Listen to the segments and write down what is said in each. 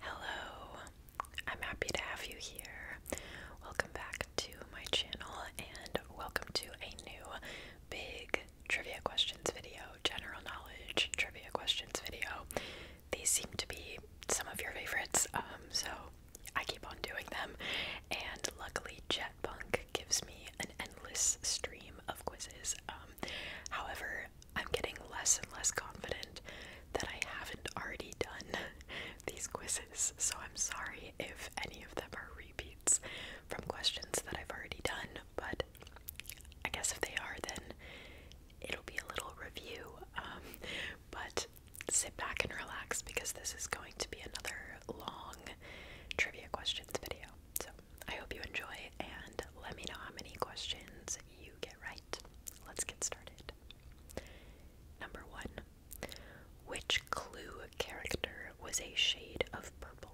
Hello, I'm happy to have you here. Welcome back to my channel and welcome to a new big trivia questions video, general knowledge trivia questions video. These seem to be some of your favorites, um, so I keep on doing them. And luckily, Jetpunk gives me an endless stream of quizzes. Um, however, I'm getting less and less confident that I haven't already done these quizzes. So I'm sorry if any of them are repeats from questions that I've already done, but I guess if they are, then it'll be a little review. Um, but sit back and relax because this is going to be another long trivia questions video. So I hope you enjoy and let me know how many questions you get right. Let's get started. Number one. Which clue character was a shade of purple?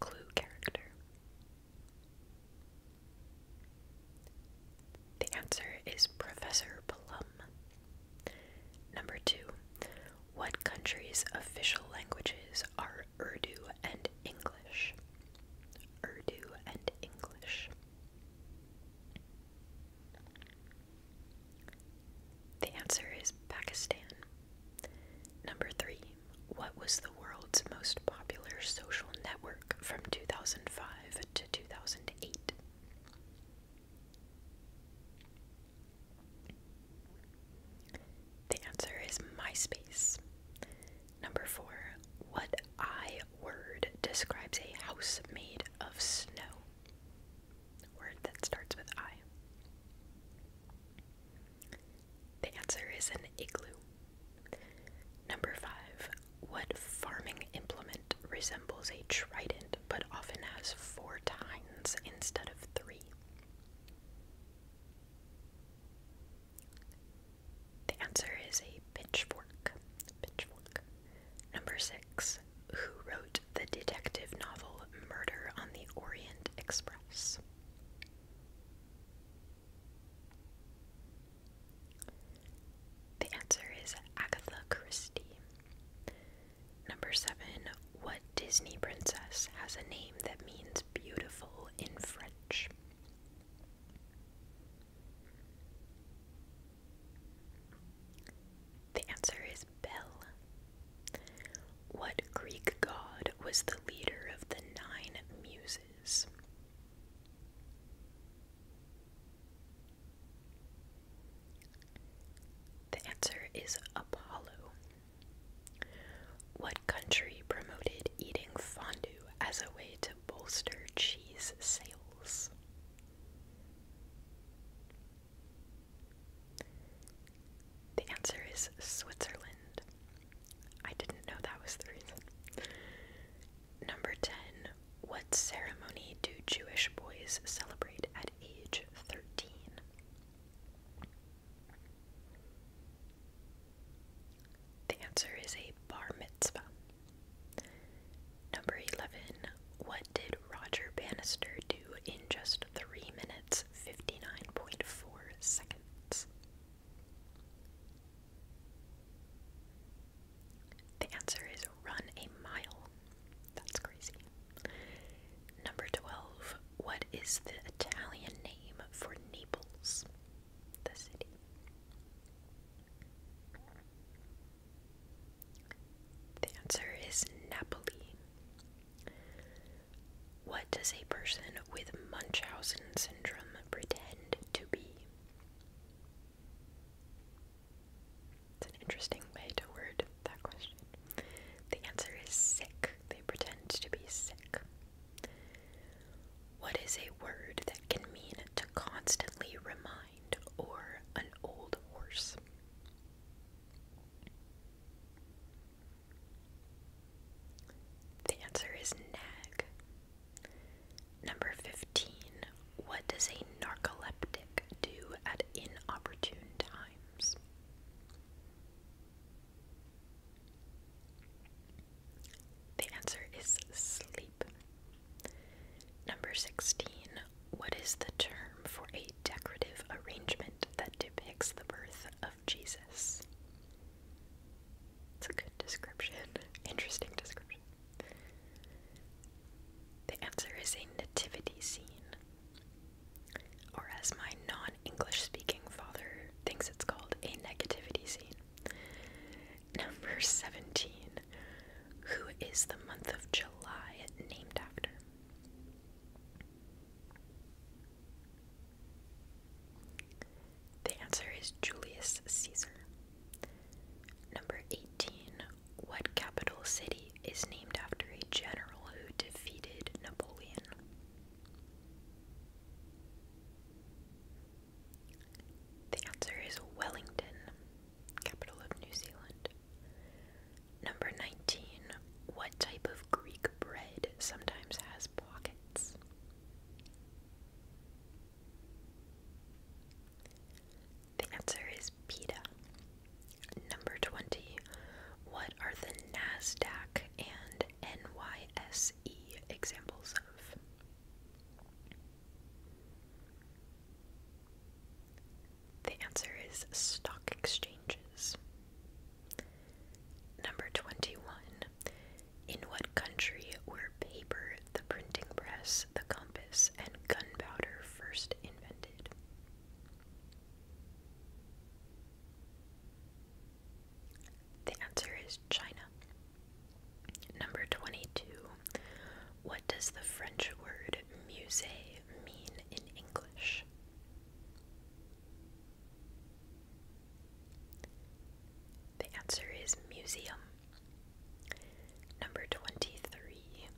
Clue character. The answer is Professor Plum. Number two. What country's official languages are Urdu and English? Urdu, and English. The answer is Pakistan. Number three, what was the world's most popular social network from 2005 to 2008? The answer is MySpace. Number four, what I word describes a house made of snow? Word that starts with I. The answer is an igloo. Number five, what farming implement resembles a trident but often has four tines instead of three? The answer is a pitchfork. Pitchfork. Number six. Who wrote the detective novel Murder on the Orient Express? The answer is Agatha Christie. Number seven. What Disney princess has a name that means beautiful in French? The answer is Bel. What Greek god was the leader of the nine muses? The answer is Apollo. What country promoted eating fondue as a way to bolster cheese sales. The answer is Switzerland. I didn't know that was the reason. Number 10. What ceremony do Jewish boys celebrate at age 13? The answer is a bar mitzvah. Number 11. What did Roger Bannister do in just 3 minutes 59.4 seconds? The answer is run a mile. That's crazy. Number 12. What is the Italian name for Naples, the city? The answer is Napoli. What does a person with Munchausen syndrome pretend to be? It's an interesting way to word that question. The answer is sick. They pretend to be sick. What is a word that can mean to constantly remind or an old horse? The answer is nag. Number 15. What does a narcoleptic do at inopportune times? The answer is sleep. Number 16. What is the term for a decorative arrangement that depicts the birth of Jesus? It's a good description. Interesting description. The answer is a nativity scene. Or, as my non English speaking father thinks it's called, a negativity scene. Number 17. Who is the month of July named after? The answer is Julius Caesar. Number 18. What capital city is named after a general who defeated Napoleon? The answer is Wellington, capital of New Zealand. Number 19. What type of Greek bread sometimes has pockets? The answer is pita. Number 20. What are the NASDAQ and NYSE examples of? The answer is stock exchanges. Number 21. In what country were paper, the printing press, the compass, and gunpowder first invented? The answer is China. Number 22. What does the French word musée mean in English? The answer is museum. Number 23.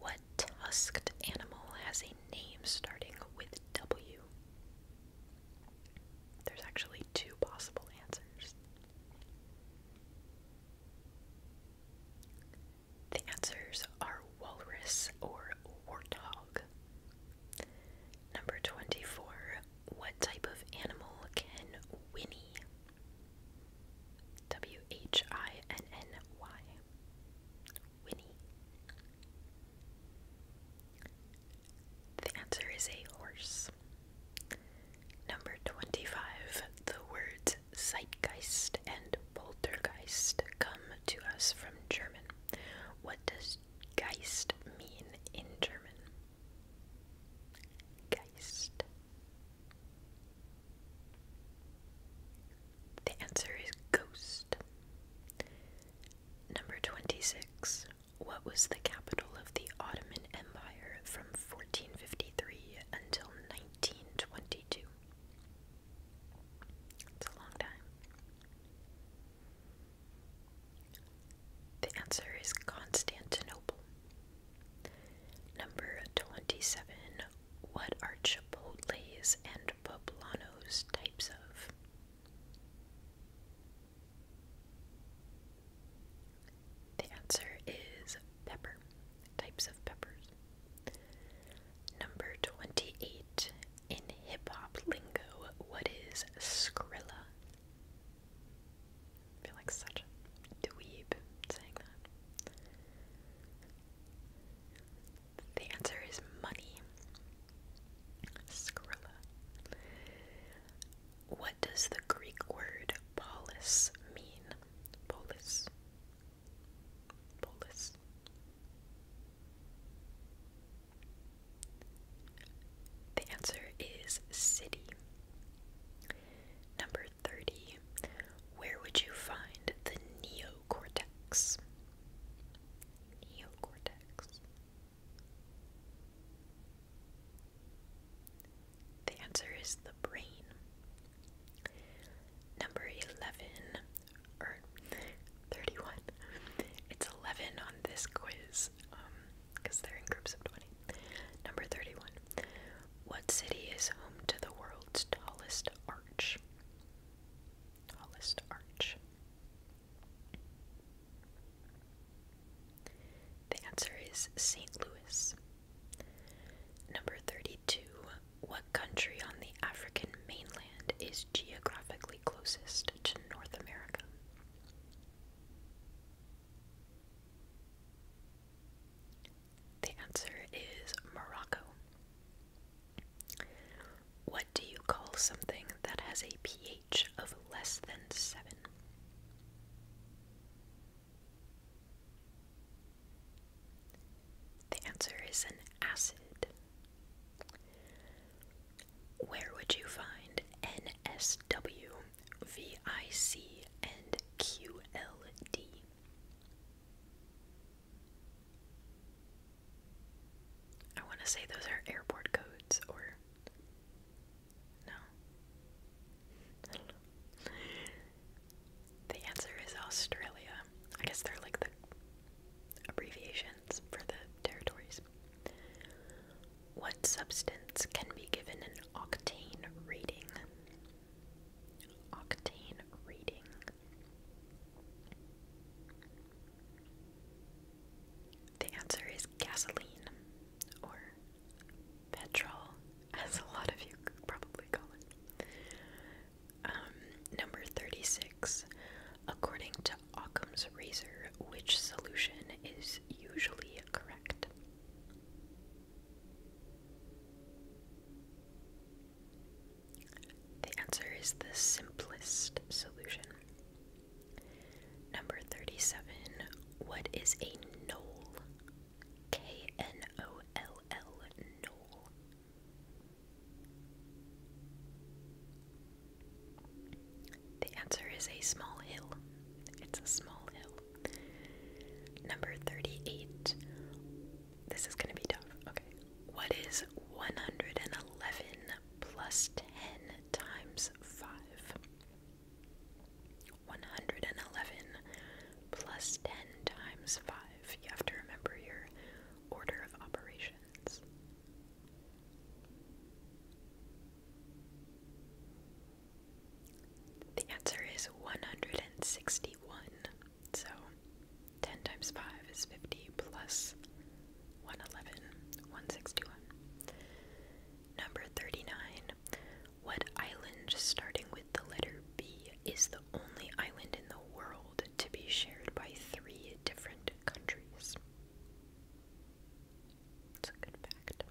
What tusked animal has a name starting with W? There's actually two possible answers. The answers are walrus or warthog. Number 24. What type of animal can Winnie? W H I N N Y. Winnie. The answer is a horse. Number 25. The words Zeitgeist and Poltergeist come to us from German. What does Geist mean in German? Geist. The answer is ghost. Number 26. What was the capital of the Ottoman Empire from 1453 until 1922? It's a long time. The answer is Constantinople. Number 27. What are and poblanos types of? The answer is pepper, types of peppers. Number 28. In hip hop lingo, what is Skrilla? feel like such a dweeb saying that. The answer is money. Skrilla. What what does the Greek word polis mean? Polis. Polis. The answer is city. Number 30. Where would you find the neocortex? Neocortex. The answer is the brain. Number 11, or 31. It's 11 on this quiz because um, they're in groups of 20. Number 31. What city is home to the world's tallest arch? Tallest arch. The answer is St. Louis. Number 32. What country on the African mainland is geographically closest to North America? The answer is Morocco. What do you call something that has a pH? of less than seven. The answer is an acid. Where would you find NSW, VIC, and QLD? I want to say those are airport codes or no. the answer is Australia. I guess they're like the abbreviations for the territories. What substance can be given an octane reading? Octane rating. The answer is gasoline or petrol, as a lot of you probably call it. Um, number 36. According to Occam's razor, which solution is usually correct? The answer is the simplest solution. Number 37. What is a knoll? K N O L L, knoll. The answer is a small hill. It's a small hill. Number 38. This is going to be tough. Okay. What is 111 plus 10 times 5? 111 plus 10 times 5. You have to remember your order of operations. The answer is 161. So 10 times 5 is 50 plus 111, 161. Number 39. What island starting with the letter B is the only island in the world to be shared by three different countries? It's a good fact.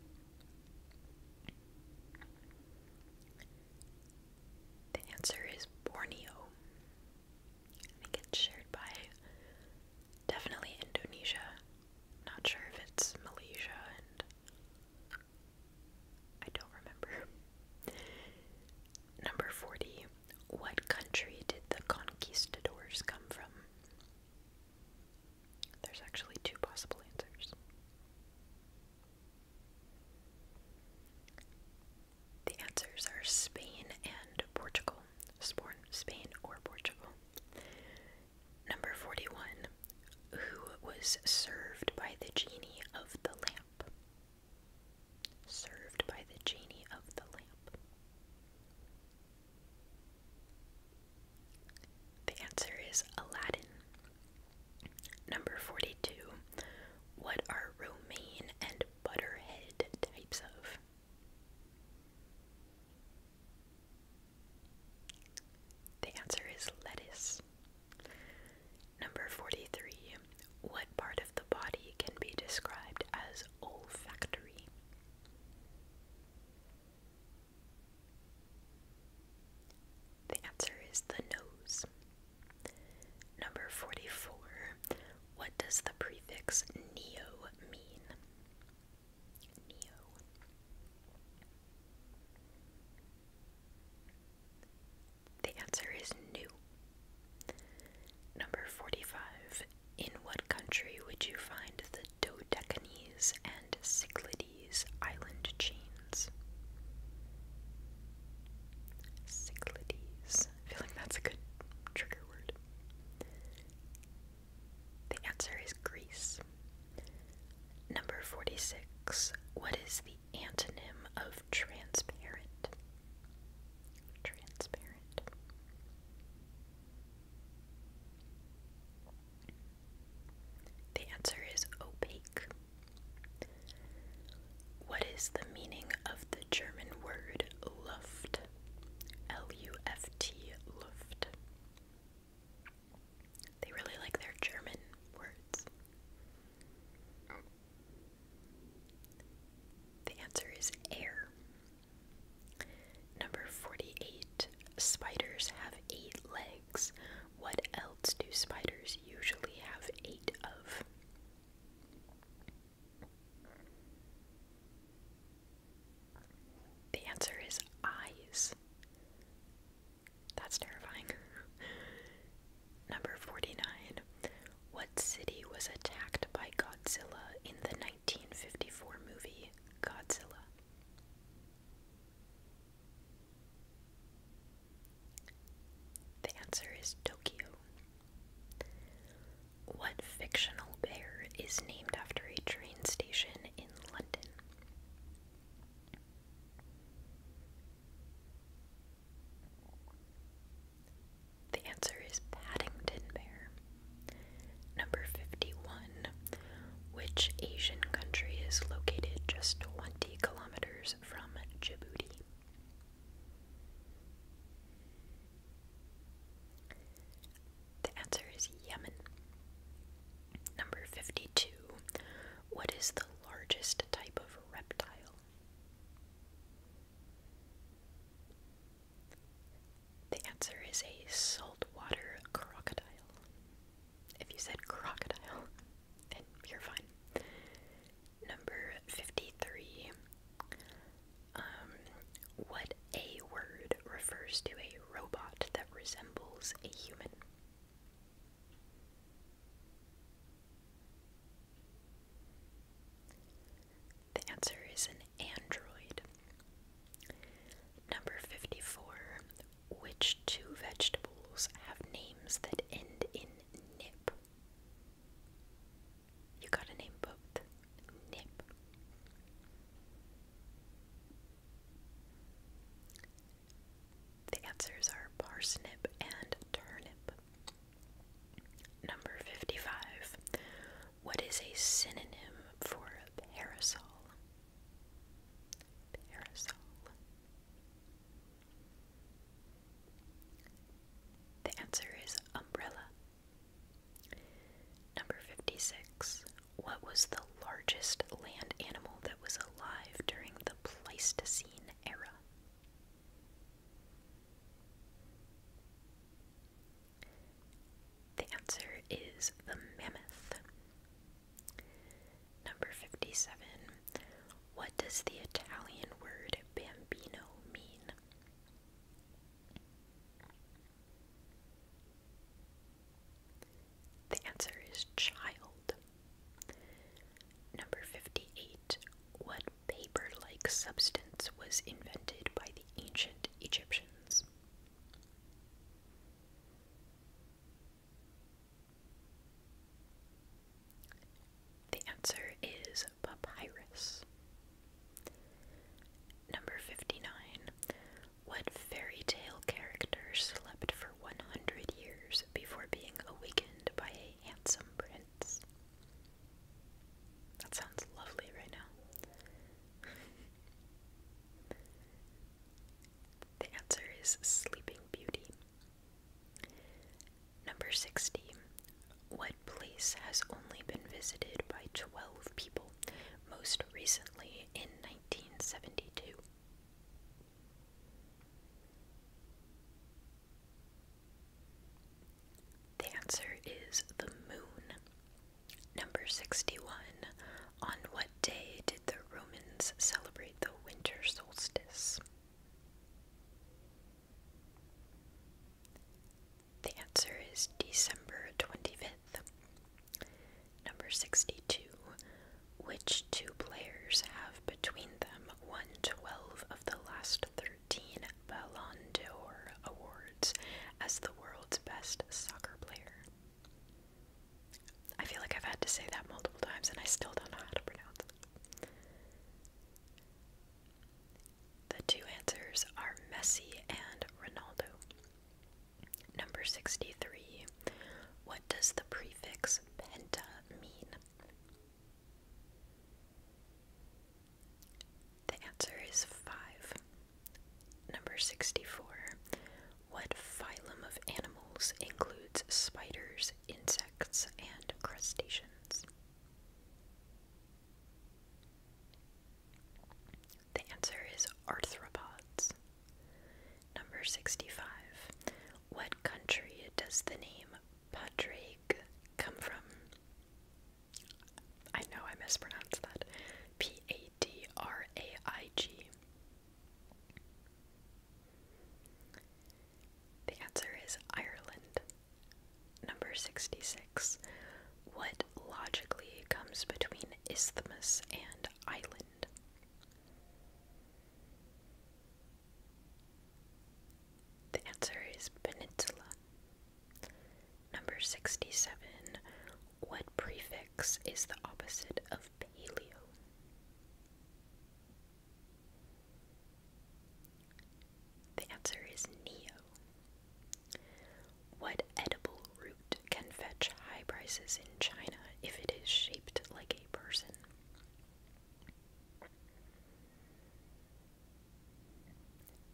The answer is Borneo. I think it's shared by Definitely Indonesia. Not sure if it's Malaysia and I don't remember. Number 40. What country did the conquistadors come from? There's actually two possible answers. The answers are Spain and Portugal. Spain or Portugal. Number 41. Who was served by the genie of the lamp? Served by the genie of the lamp. The answer is Aladdin. Number 42. What are romaine and butterhead types of? The answer is lettuce. Number 43. What part of the body can be described as olfactory? The answer is the nose. Number 44. What does the prefix neo mean? Neo. The answer is new. Number 45. In what country would you find the Dodecanese and Cyclades island chains? Cyclades. I that's a good trigger word. The answer is Greece. Number 46. What is the antonym of transparent? Transparent. The answer is opaque. What is the meaning of the German word Luft? L U F T, Luft. They really like their German words. The answer is air. Number 48. Spiders have eight legs. What else do spiders usually have eight of? The answer is eyes. That's terrifying. Number 49. What city was attacked by Godzilla in the 1954 movie Godzilla? The answer is Tokyo. What fictional bear is named after a train station in London? The answer is Paddington Bear. Number 51. Which Asian country is located just 20 kilometers from Djibouti? The answer is Yemen. Number 52. What is the largest type of reptile? The answer is a saltwater crocodile. If you said crocodile, then you're fine. Number 53. Um, what a word refers to a robot that resembles a human? The answer is an android. Number 54. Which two vegetables have names that end in nip? You gotta name both. Nip. The answers are parsnip and turnip. Number 55. What is a synonym for a parasol? Parasol. The answer is umbrella. Number 56. What was the largest land animal that was alive during the Pleistocene era? The answer is the mammoth. Number 57. What does the Italian word bambino mean? The answer is child. Number 58. What paper like substance was invented by the ancient Egyptians? The answer is papyrus. Number 59. What fairy tale character slept for 100 years before being awakened by a handsome prince? That sounds lovely right now. the answer is Sleeping Beauty. Number 60. What place has only been visited by 12 people? most recently in 1972. The answer is the moon. Number 61. On what day did the Romans celebrate the winter solstice? The answer is December 25th. Number 62. Which two players have between them one twelve of the last 13 Ballon d'Or awards as the world's best soccer player? I feel like I've had to say that multiple times and I still don't know how to pronounce it. The two answers are Messi and Ronaldo. Number 63. What does the prefix penta mean? The answer is 5. Number 64. What phylum of animals includes spiders, insects, and crustaceans? The answer is arthropods. Number 65. What country does the name Padraig come from? I know I mispronounced that. P A D R A I G. The answer is Ireland. Number 66. What logically comes between isthmus and island? The answer is peninsula. Number 67. What prefix is the opposite of paleo? The answer is neo. What edible root can fetch high prices in China if it is shaped like a person?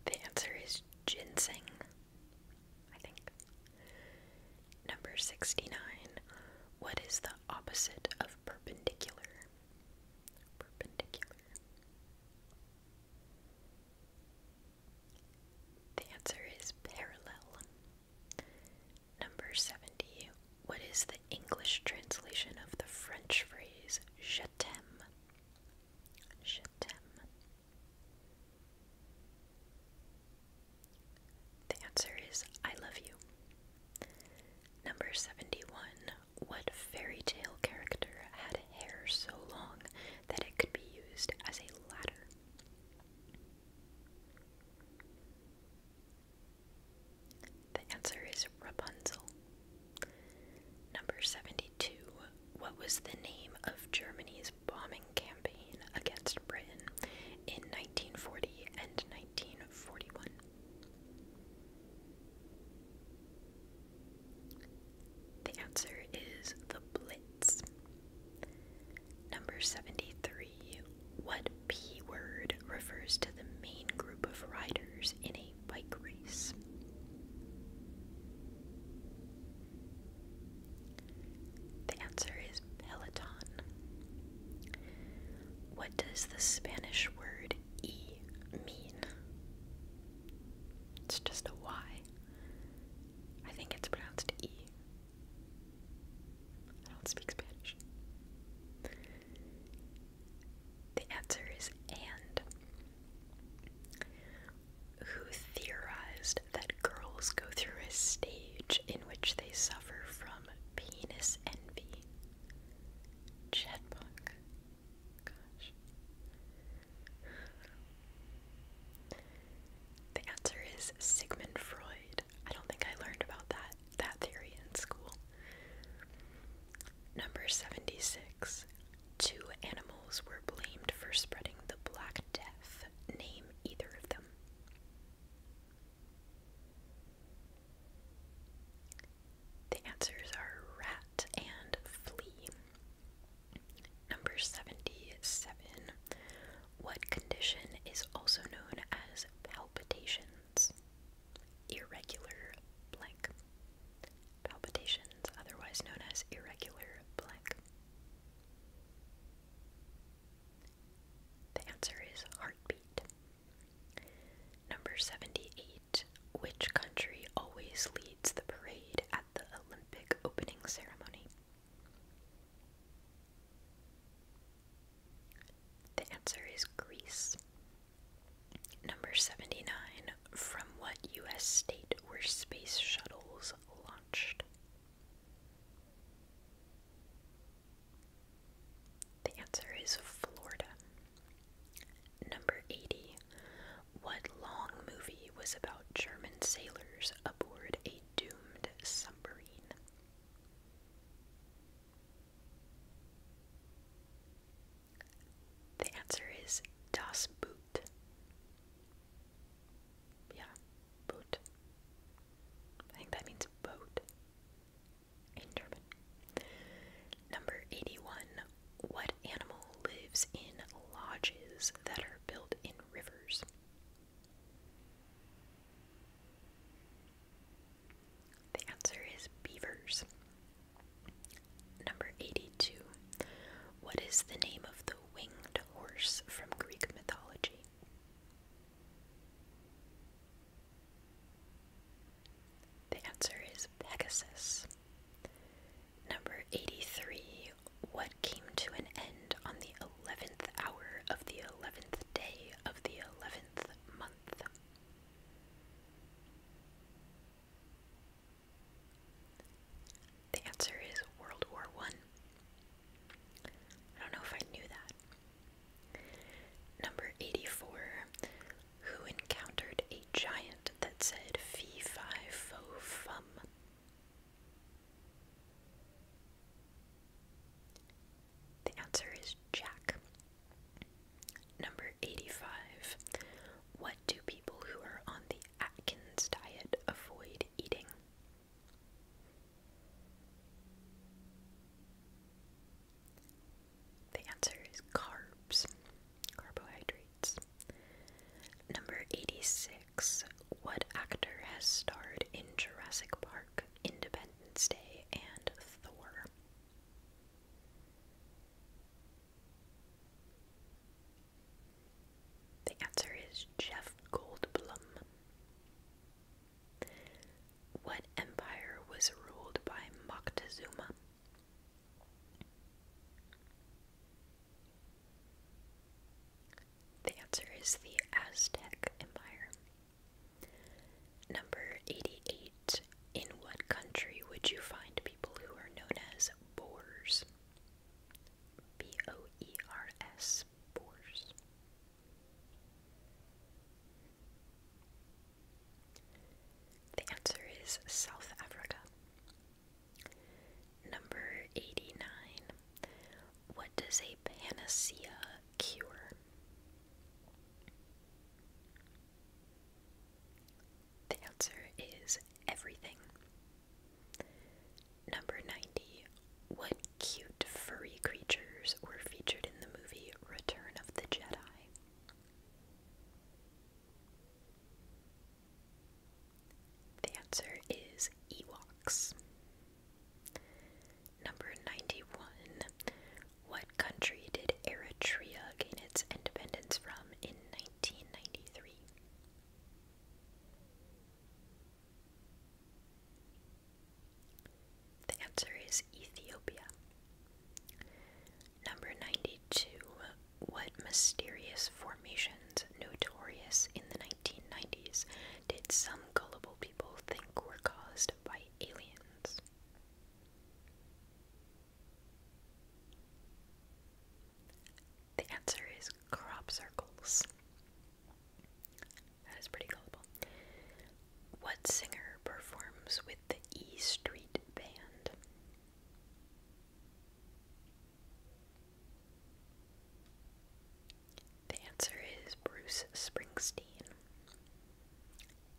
The answer is ginseng, I think. Number 69. What is the opposite of perpendicular? Perpendicular. The answer is parallel. Number 70. What is the English translation of the French phrase je t'aime? The answer is I love you. Number 71. What fairy tale character had hair so long that it could be used as a ladder? The answer is Rapunzel. Number 72. What was the name of Germany's bombing campaign against Britain in 1940 and 1941? The answer is the Blitz. Number 73. What P word refers to the main group of riders in a bike race? The answer is peloton. What does the Spanish word E mean? It's just a Y. I think it's pronounced E. I don't speak Spanish. The answer is and. Who theorized that girls go through a stage in which they suffer from penis envy? Chet Gosh. The answer is Sigmund Freud. I don't think I learned about that that theory in school. Number 76. Two animals were blamed for spreading the Black Death. Name either of them. The answers are rat and flea. Number 77. What condition is also known as palpitations? Irregular blank. Palpitations, otherwise known as irregular blank. The answer is heartbeat. Number 78. Which country always leads the parade at the Olympic opening ceremony? The answer is Greece. Number 79. From what US state were space shuttles launched? The answer is Florida. Number 80. What long movie was about German sailors aboard a doomed submarine. The answer is Das Boot. Yeah, boot. I think that means boat Number 81. What animal lives in lodges that are built in rivers? The answer is beavers. Number 82. What is the name of the winged horse from Greek mythology? The answer is Pegasus. Number 83. What came to an end on the eleventh hour of the eleventh day of the eleventh month? The answer is World War One. I. don't know if I knew that. Number 84. Who encountered a giant that said fee fi fo fum? The answer is Jack. Number 85. What do people who are on the Atkins diet avoid eating? The answer is carbs, carbohydrates. Number 86 what actor has starred in Jurassic Park, Independence Day, and Thor? The answer is Jeff Goldblum. What empire was ruled by Moctezuma? The answer is the Aztec Empire. Number 88. In what country would you find people who are known as Boers? B O E R S, Boers. The answer is South Africa. Number 89. What does a panacea cure? The answer is everything. Number 90. What cute furry creatures were featured in the movie Return of the Jedi? The answer is Ewoks. Number 91. What country did Eritrea gain its independence from in 1993? The answer is Ethiopia. Number 92. What mysterious formations, notorious in the 1990s, did some gullible people think were caused by aliens? The answer is crop circles. That is pretty gullible. What singer performs with the E Street Band? The answer is Bruce Springsteen.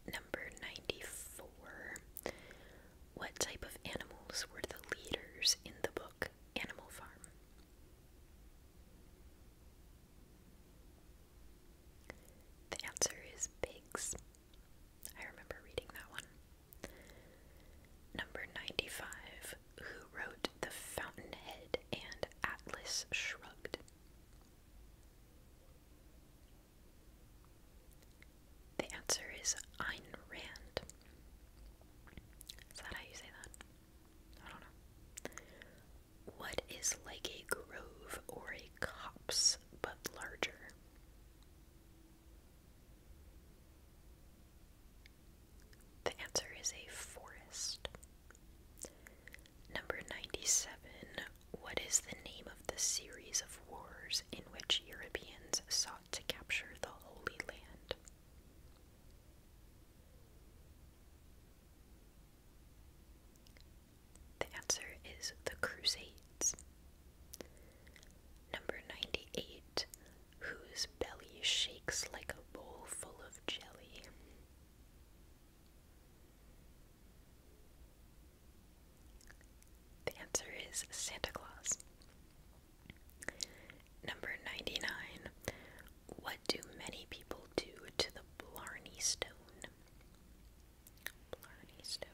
Number 94. What type of animals were the leaders in the book Animal Farm? The answer is pigs. I remember reading that one. Number 95 who wrote The Fountainhead and Atlas Shrugged. The answer is Ayn Is that how you say that? I don't know. What is like a grove or a copse but larger? The answer is a forest. Number 97. What is the name of the series of wars in which Europeans sought to capture the Holy Land? The answer is the Crusades. Number 98 whose belly shakes like a bowl full of jelly. The answer is Santa Claus. Number 99. What do many people do to the Blarney Stone? Blarney Stone.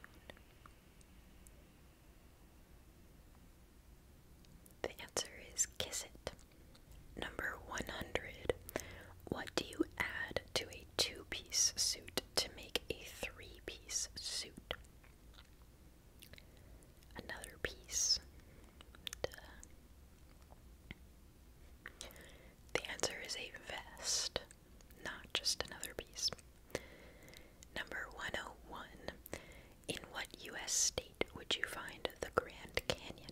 The answer is kiss it. Number 100. What do you add to a two piece suit to make a three piece suit? Another piece. The answer is a vest, not just another piece. Number 101. In what U.S. state? feet would you find the Grand Canyon?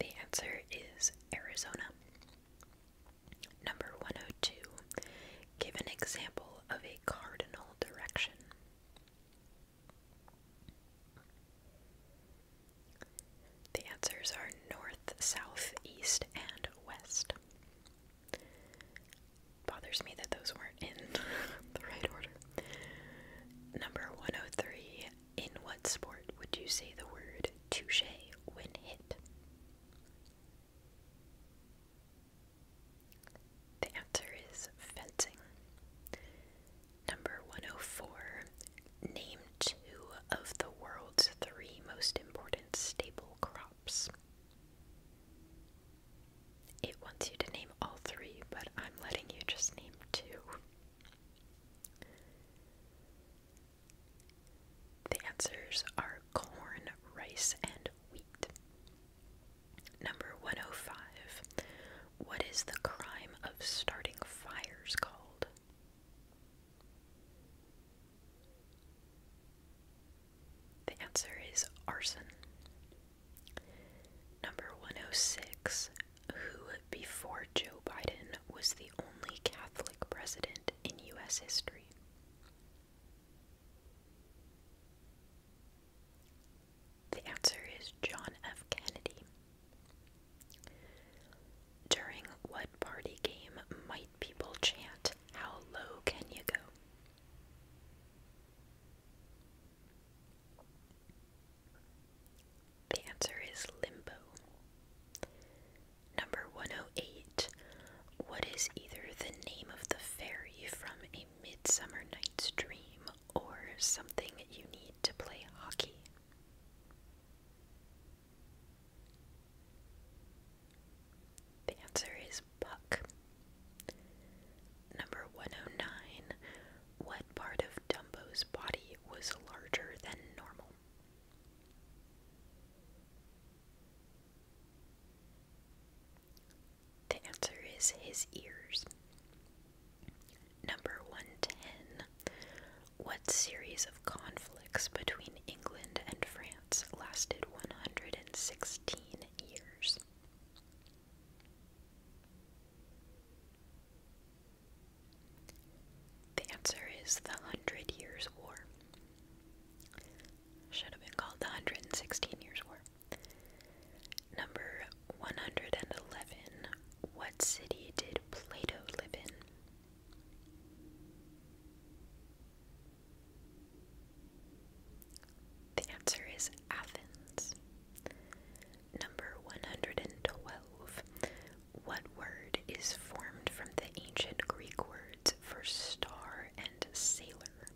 The answer is Arizona. Number 102. Give an example of a cardinal direction. The answers are north, south, east, and west. Bothers me that those weren't in the right order. Number 103. In what sport would you say the word touche when hit? The answer is fencing. Number 104. Name two of the world's three most important staple crops. It wants you to name all three, but I'm letting you just name two. The answers are corn, rice, and wheat. Number 105. What is the crime of starting fires called? The answer is arson. Number 106 Who before Joe Biden was the only Catholic president in U.S. history? The answer is John F. Kennedy. During what party game might people chant, How low can you go? The answer is limbo. Number 108. What is either the name of the fairy from A Midsummer Night's Dream or something you need to play hockey? The answer is Puck. Number 109. What part of Dumbo's body was larger than normal? The answer is his ears. Number 110. What series of conflicts between England and France lasted 116 years? The answer is the Hundred Years' War. Should have been called the Hundred and Sixteen Years' War. Number 111. What city did Plato live in? The answer is Athens. Number 112. What word is formed from the ancient Greek words for star and sailor?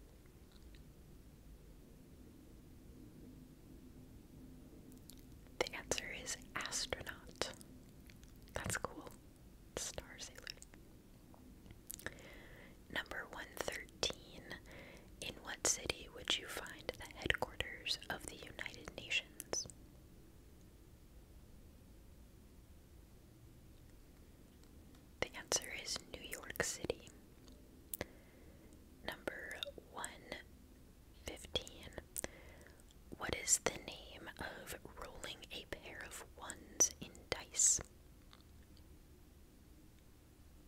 The answer is astronaut. That's cool. Star sailor. Number 113. In what city would you find the headquarters of the United Nations? The answer is New York City. Number 115. What is the name of rolling a pair of ones in dice?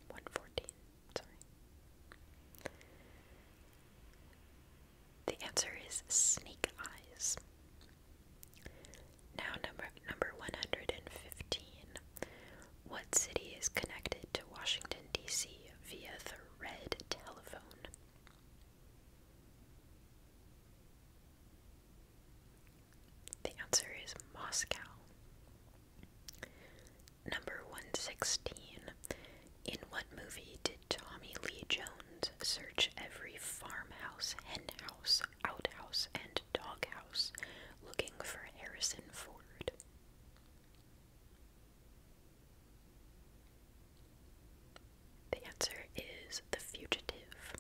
114, sorry. The answer is sneak eyes. Now number number 115. What city is connected to Washington DC via the red telephone? The answer is Moscow. Number 116. In what movie did Tommy Lee Jones search every farmhouse, henhouse, outhouse, and doghouse looking for Harrison Ford? The answer is The Fugitive.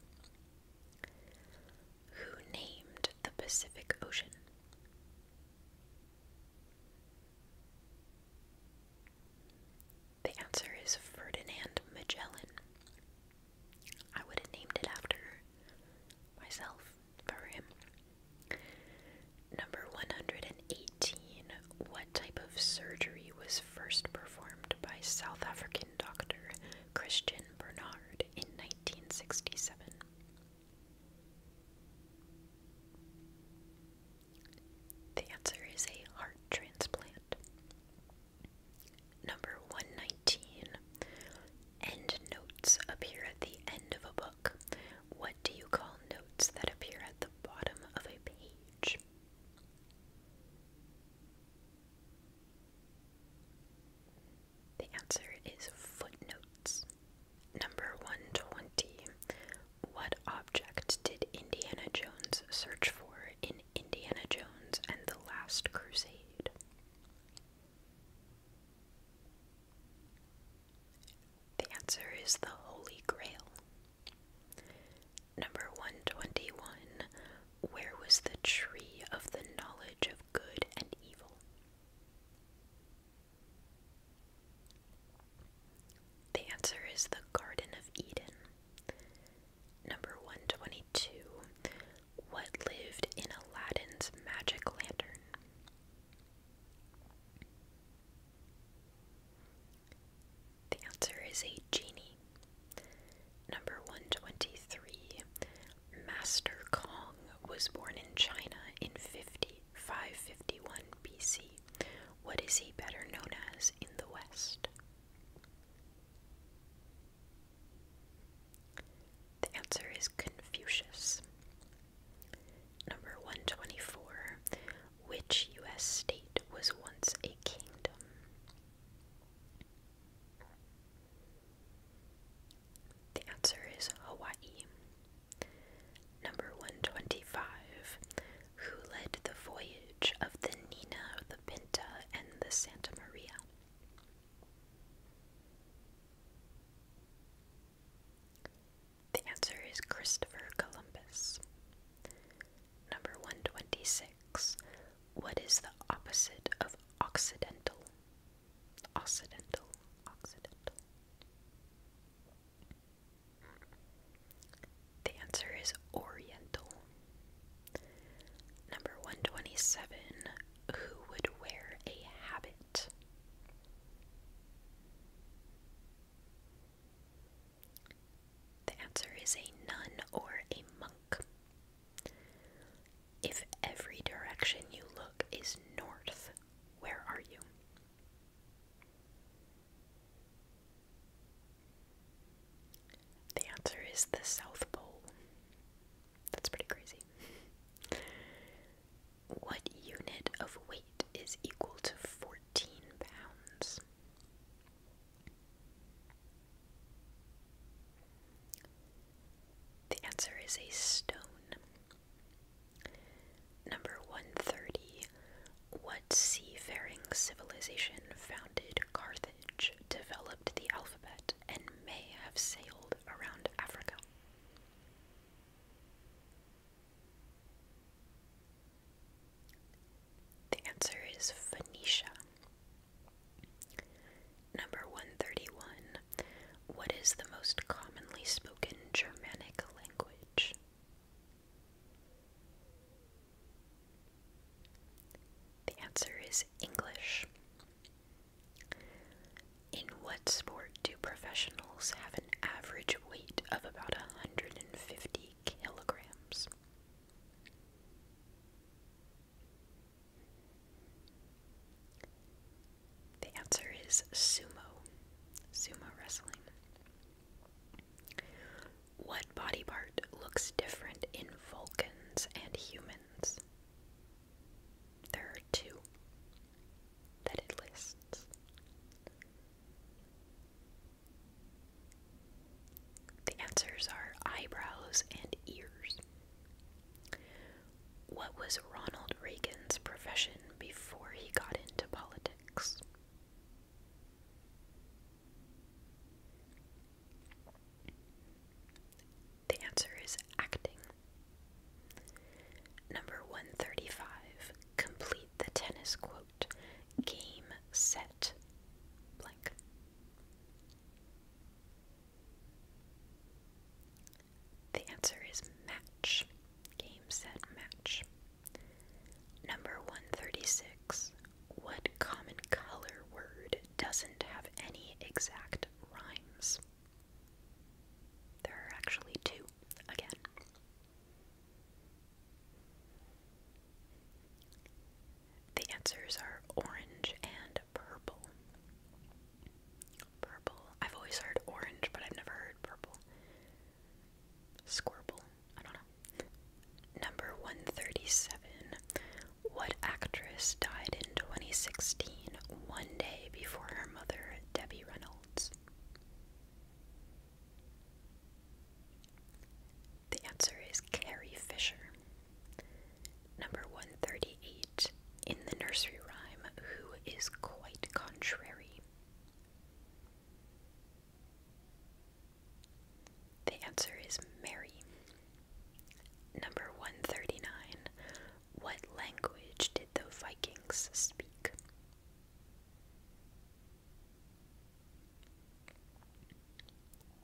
Who named the Pacific Ocean? The answer is Ferdinand Magellan. I would have named it after myself for him. Number 118. What type of surgery was first performed by South African doctor Christian Bernard in 1967. The answer is a heart transplant. Number 119. End notes appear at the end of a book. What do you call notes that appear at the bottom of a page? The answer is footnotes. Number 120. What object did Indiana Jones search for in Indiana Jones and the Last Crusade? The answer is the Holy Grail. Number 121. Where was the tree of the knowledge of good and evil? The answer is the Garden of Eden. Number 122. What lived in Aladdin's magic lantern? The answer is a genie. Number 123. Master Kong was born in China in 50, BC. What is he better known as in the West? The answer is Confucius. Number 124. Which U.S. state was once a kingdom? The answer is Hawaii. Number 125. Who led the voyage of the Nina, the Pinta, and the Santa Maria? The answer is Christopher Columbus. Number 126. What is the opposite of Occidental? Occidental, Occidental. The answer is Oriental. Number 127. Who would wear a habit? The answer is a nun or a monk. If every direction you look is north, where are you? The answer is the South Pole. That's pretty crazy. What unit of weight is equal to 14 pounds? The answer is a stone. Number 130. What seafaring civilization founded Carthage, developed the alphabet, and may have sailed around Africa? The answer is Phoenicia. Number 131. What is the most commonly spoken Germanic language? The answer is English. In what sport do professionals have an average weight of about 150 kilograms? The answer is sumo, sumo wrestling. What body part looks different in Vulcans and humans? There are two that it lists. The answers are eyebrows and ears. What was Ronald Reagan's profession before he got into politics? The answer is acting. Number 135. Complete the tennis quote. Game, set, blank. The answer is match. Game set match. Number 136. What common color word doesn't have any exact rhymes? There are actually two, again. The answers are orange and purple. Purple. I've always heard orange, but I've never heard purple. Squirble. I don't know. Number 137. What actress died in 2016, one day before her mother, Debbie Reynolds? The answer is Carrie Fisher. Number 138. In the nursery rhyme, who is quite contrary? The answer is Mary. Number 139. What language did the Vikings speak?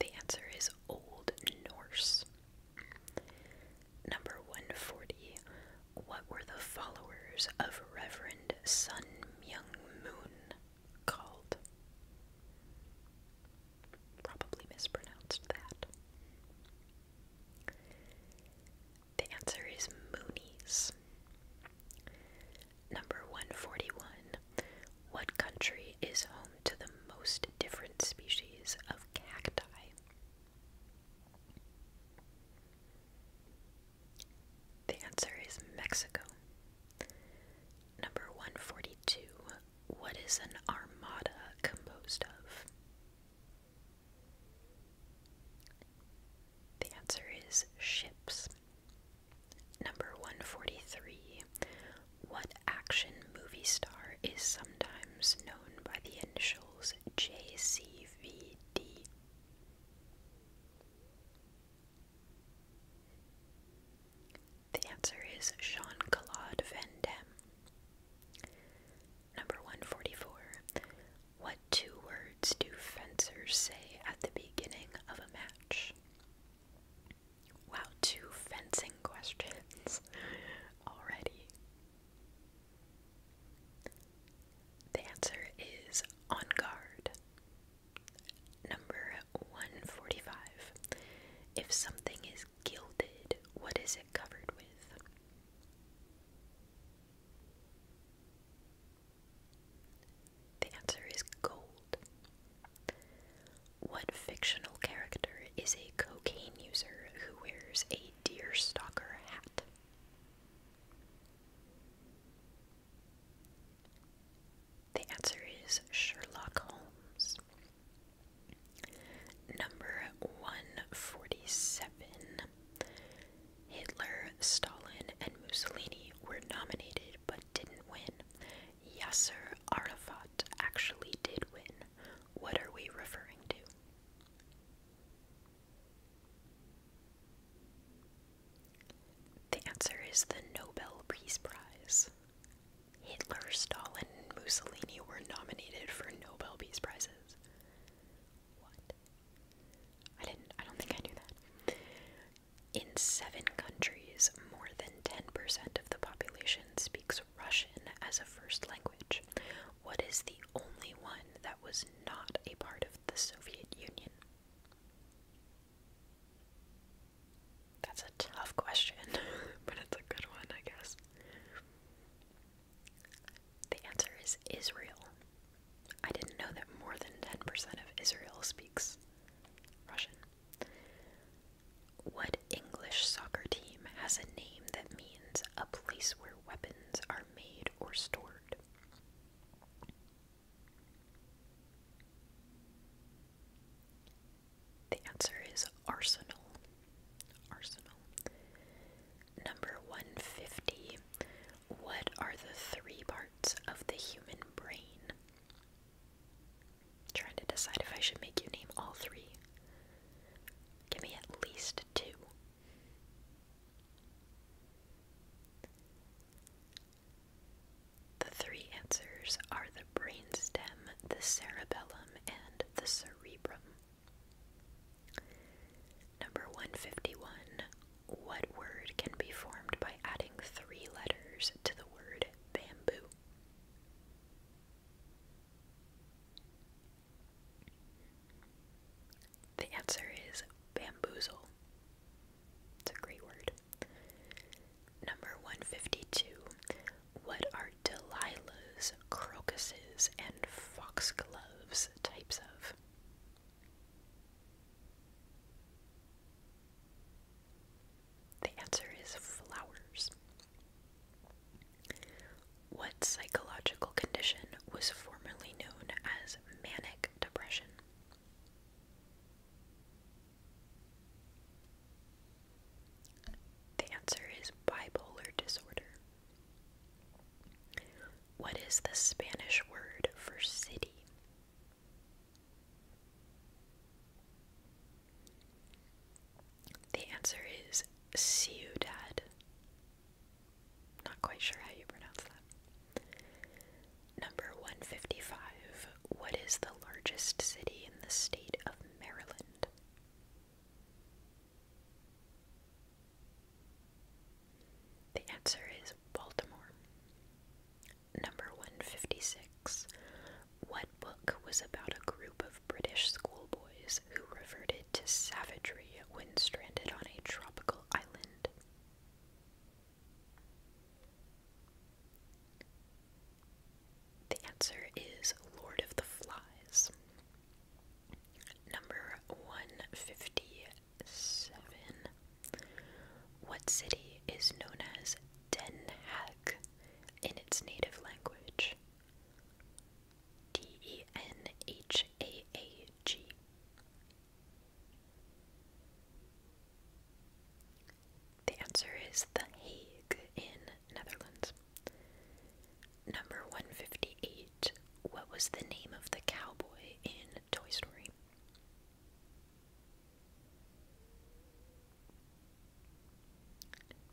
The answer is Old Norse. Number 140. What were the followers of Reverend Sun Myung Moon called? Probably mispronounced that. The answer is Moonies. Number 141. What country is home to the most different species of cacti? The answer is Mexico. Number 142. What is an armada composed of? The answer is ships. Number 143. What action movie star is sometimes known by the initials JCVD. The answer is Jean Claude Van Number 144. What two words do fencers say at the beginning of a match? Wow, two fencing questions already. The answer is on guard. Number 145. If something is gilded, what is it covered with? The answer is gold. What fictional character is a cocaine user who wears a deer stalker hat. The answer is Sherlock Holmes. Number 147. Hitler, Stalin, and Mussolini were nominated but didn't win. Yasser Arafat actually did win what are we referring to? The answer is the Nobel Peace Prize. Hitler, Stalin, and Mussolini were nominated for Nobel Peace Prizes. What? I didn't I don't think I knew that. In seven countries, more than 10% of the population speaks Russian as a first language? What is the only one that was not a part of the Soviet Union? That's a tough question, but it's a good one, I guess. The answer is Israel. I didn't know that more than 10% of Israel speaks Russian. What English soccer team has a name that means a place where weapons are made or stored? The answer is Arsenal. Arsenal. Number 150. What are the three parts of the human brain? trying to decide if I should make you name all three. Give me at least two. The three answers are the brainstem, the cerebellum, and the cerebrum. Number 151. What word can be formed by adding three letters to the word bamboo? The answer is bamboozle. It's a great word. Number 152. What are Delilah's, crocuses, and foxgloves types of? The answer is flowers. What psychological condition was formerly known as manic depression? The answer is bipolar disorder. What is the Spanish word for city? The answer is Ciudad. Not quite sure how you pronounce that. Number 155. What is the largest city in the state of Maryland? The answer is Baltimore. Number 156. What book was about a group of British schoolboys who reverted to savagery when stranded on a tropical island. The answer is Lord of the Flies. Number 157. What city is known as Den Haag in its native language? D E N H A A G. The answer is The Hague in Netherlands. Number 158. What was the name of the cowboy in Toy Story?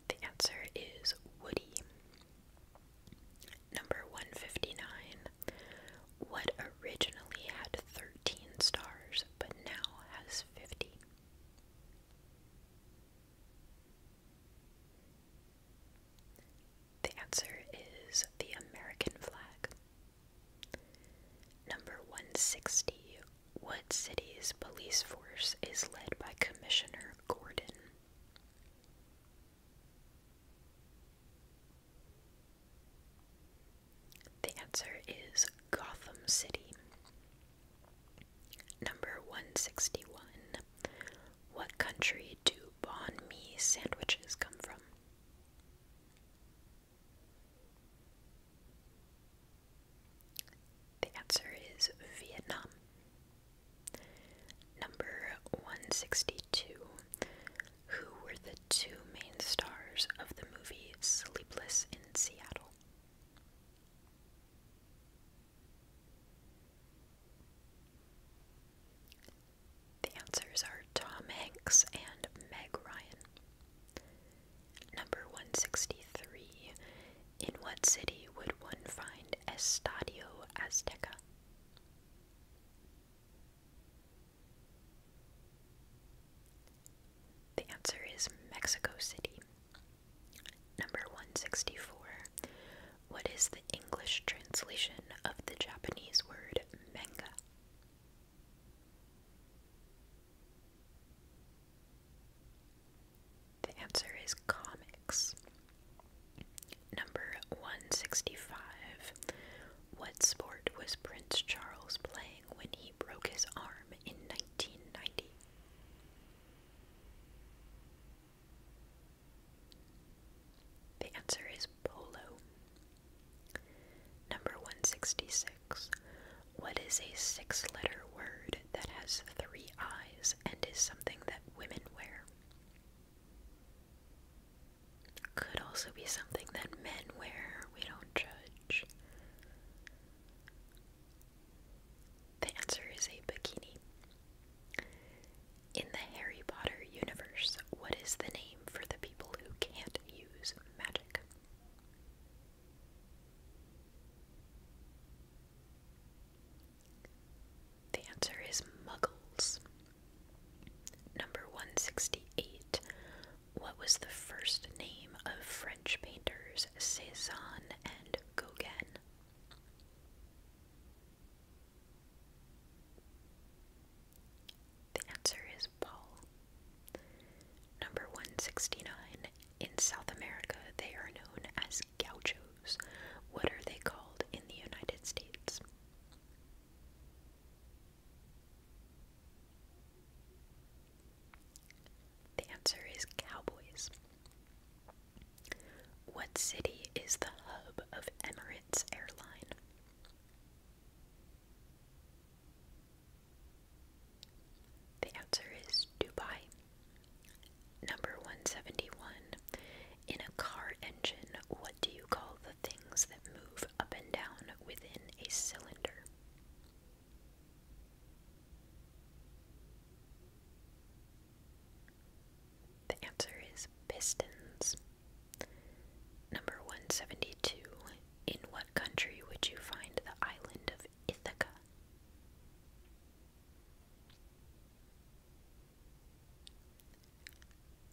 The answer is Woody. Number 159. What originally had 13 stars but now has 50? The answer is the American flag. Number 160. What city's police force is led by Commissioner Gordon? The answer is Gotham City. Number 161. What country do banh mi sandwiches come from? The answer is Vietnam. Number 162. Who were the two main stars of the movie Sleepless in Seattle? The answers are Tom Hanks and Meg Ryan. Number 163. In what city would one find Estadio Azteca? The answer is Mexico City. Number 164. What is the English translation of the Japanese word manga? The answer is comics. Number 165. What sport was Prince Charles playing when he broke his arm in 1990? The answer is polo. Number 166. What is a six letter word that has three eyes and is something that women wear. Could also be something that men wear. We don't judge. The answer is a bikini. In the Harry Potter universe, what is the name for the people who can't use magic? The answer is Muggles. Number 168. What was the first name of French painters Cézanne and Gauguin? The answer is Paul. Number 169. In South America, they are known as gauchos. What are they called in the United States? The answer is cowboys. What city is the hub of Emirates Airline? The answer is Dubai. Number 171. In a car engine, what do you call the things that move up and down within a cylinder? The answer is pistons. Number 172. In what country would you find the island of Ithaca?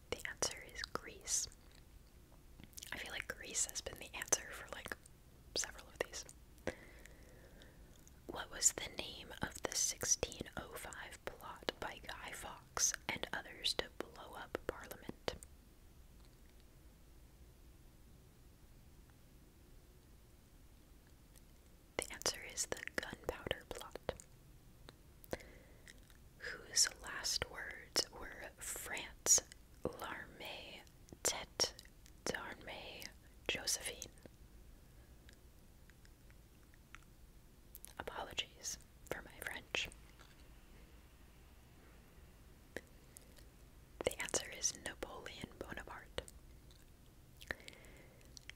The answer is Greece. I feel like Greece has been the answer for like several of these. What was the name of the 1605 plot by Guy Fawkes and others to blow up Parliament? The answer is the gunpowder plot, whose last words were France, l'armée, tête d'armée, Josephine. Apologies for my French. The answer is Napoleon Bonaparte,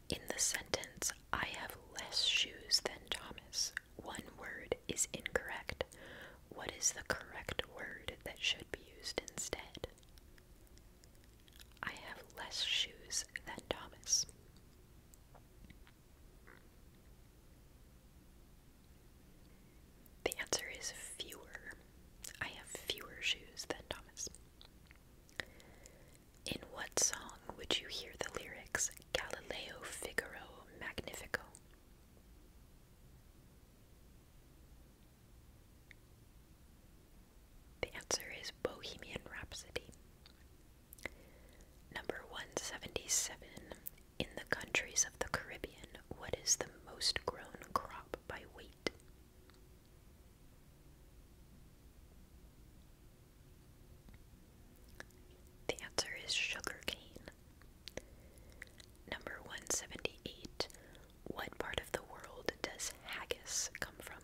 in the sentence, I have less shoes than Thomas, one word is incorrect. What is the correct word that should be used instead? I have less shoes than Thomas. The answer is fewer. I have fewer shoes than Thomas. In what song would you hear the lyrics Galileo Figaro Magnifico? The answer is Bohemian Rhapsody. Number 177. In the countries of the Caribbean, what is the most grown crop by weight? The answer is sugarcane. Number 178. What part of the world does haggis come from?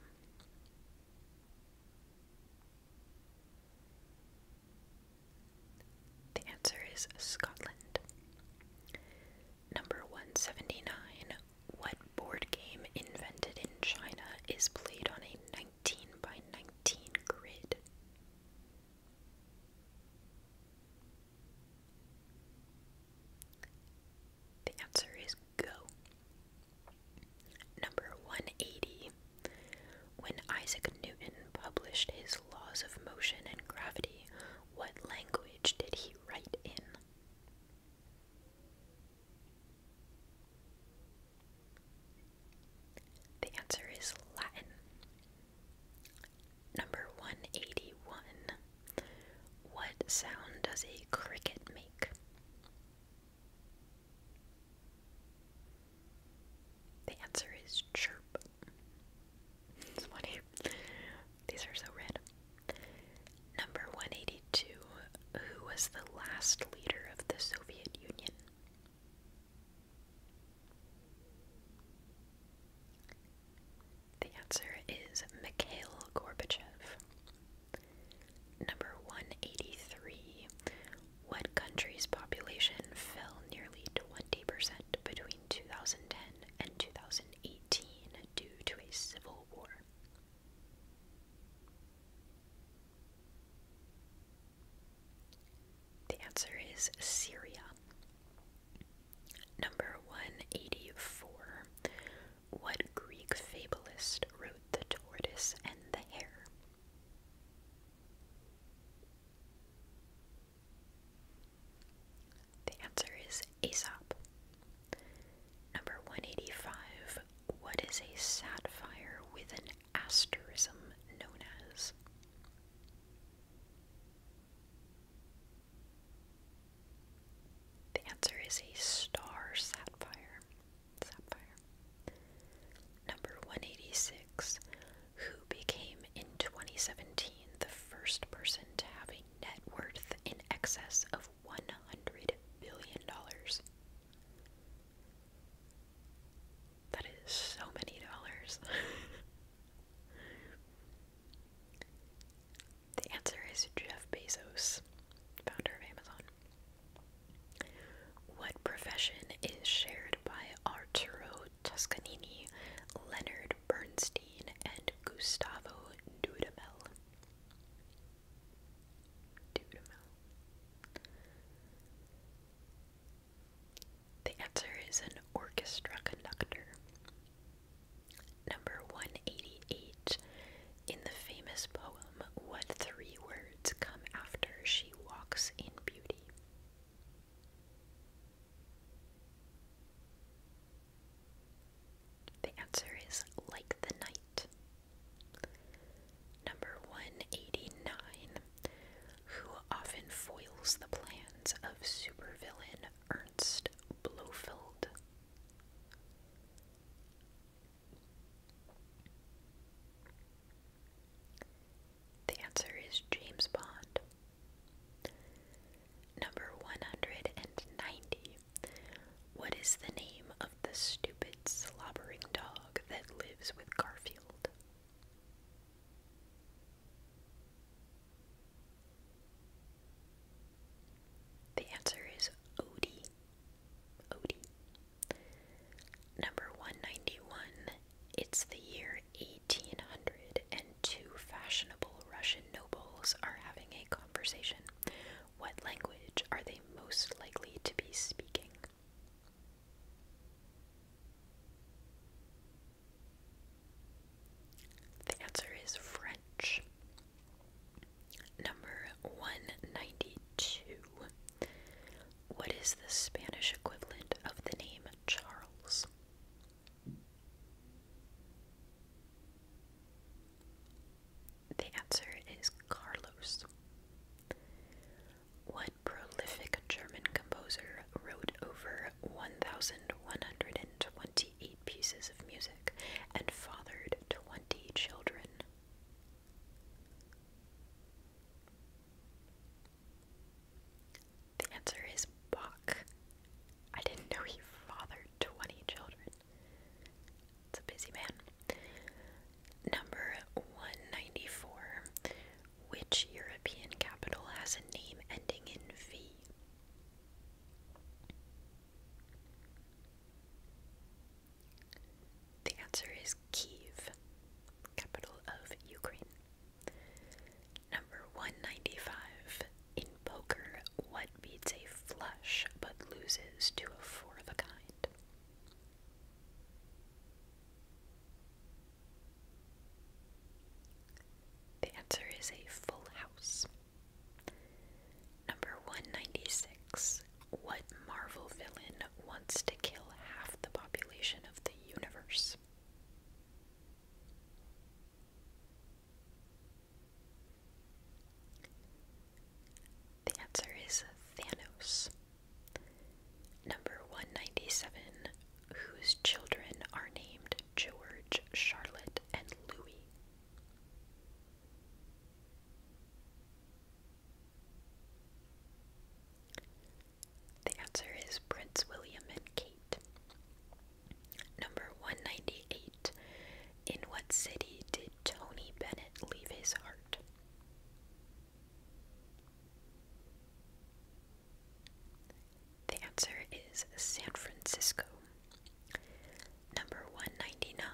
The answer is Scotland. Number 179. What board game invented in China is played on a 19 by 19 grid? The answer is Go. Number 180. When Isaac Newton published his Laws of Motion and Gravity, what language did he write in? The answer is Latin. Number 181. What sound does a cricket make? The answer is chirp. It's funny. These are so red. Number 182 Who was the last leader of the Soviet Union? The answer is Mikhail Gorbachev. Number 183 What country's population fell nearly 20% between 2010 and 2018 due to a civil war? The answer is Syria. Number 184. What Greek fabulist wrote The Tortoise and the Hare? The answer is Aesop. Number 185. What is a sapphire with an asterism known as? The answer is a star sapphire. Sapphire. Number 186. Who became in 2017 the first person to have a net worth in excess of of $100 billion. That is so many dollars. the answer is Jeff Bezos, founder of Amazon. What profession is shared by Arturo Toscanini, Leonard Bernstein, and Gustavo Dudamel? The answer is an orchestra conductor. Number 188. In the famous poem, what three words come after she walks in beauty? The answer is like the night. Number 189. Who often foils the plans of supervillain Ernst Blofeld? The answer is James Bond. Number 190. What is the name of the stupid, slobbering dog that lives with Garfield? The answer is Odie. Odie. Number 191. It's the year 1800, fashionable Russian nobles are having a conversation. What language are they most likely to be speaking? The answer is French. Number 192. What is the Spanish equivalent of the name Charles? The answer is Carlos. What prolific German composer wrote over 1,128 pieces of music and fathered 20 children? The answer is Bach. I didn't know he fathered 20 children. It's a busy man. Number 194. Which European capital has a name ending in V? The answer is Kiev, capital of Ukraine. Number 195 poker, what beats a flush but loses to a four of a kind? The answer is a full house. Number 196. What Marvel villain wants to kill half the population of the universe? The answer is Thanos. Number 197, whose children are named George, Charlotte, and Louis. The answer is Prince William and Kate. Number 198, in what city did Tony Bennett leave his heart? The answer is San Francisco. Number 199.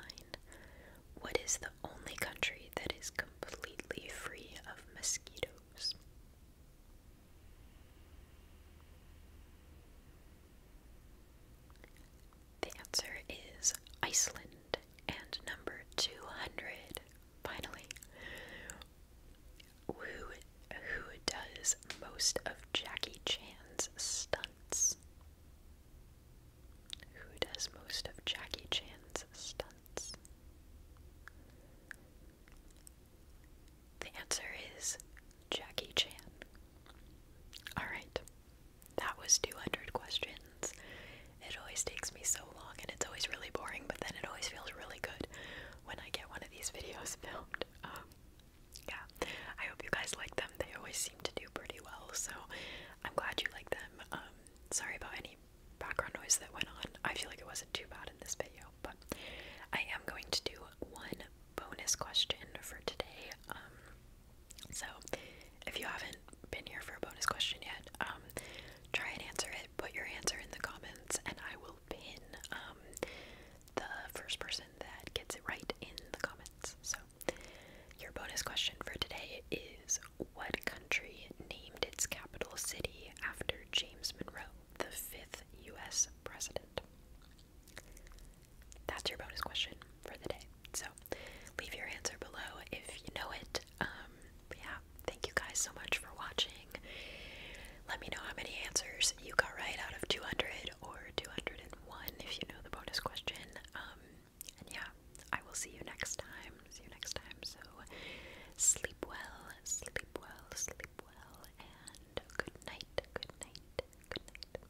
What is the only country that is completely free of mosquitoes? The answer is Iceland and number 200. Finally, who, who does most of Jackie Chan's stunts? Who does most of Jackie Chan's stunts? The answer is Jackie Chan. Alright, that was 200 questions. It always takes me so long and it's always really boring, but then it always feels really good when I get one of these videos filmed. Um, yeah, I hope you guys like them. They always seem to do pretty well, so I'm glad you like them. Um, sorry about any background noise that went on. I feel like it wasn't too bad in this video, but I am going to do one bonus question for today. Um, so, if you haven't been here for a bonus question yet, um, try and answer it. Put your answer in the comments, and I will pin um, the first person that gets it right in the comments. So, your bonus question for today is What country named its capital city after James Monroe, the fifth U.S. president? That's your bonus question for the day. So leave your answer below if you know it. Um, yeah, thank you guys so much for watching. Let me know how many answers you got right out of 200 or 201 if you know the bonus question. Um, and yeah, I will see you next time. See you next time. So sleep well, sleep well, sleep well, and good night, good night, good night.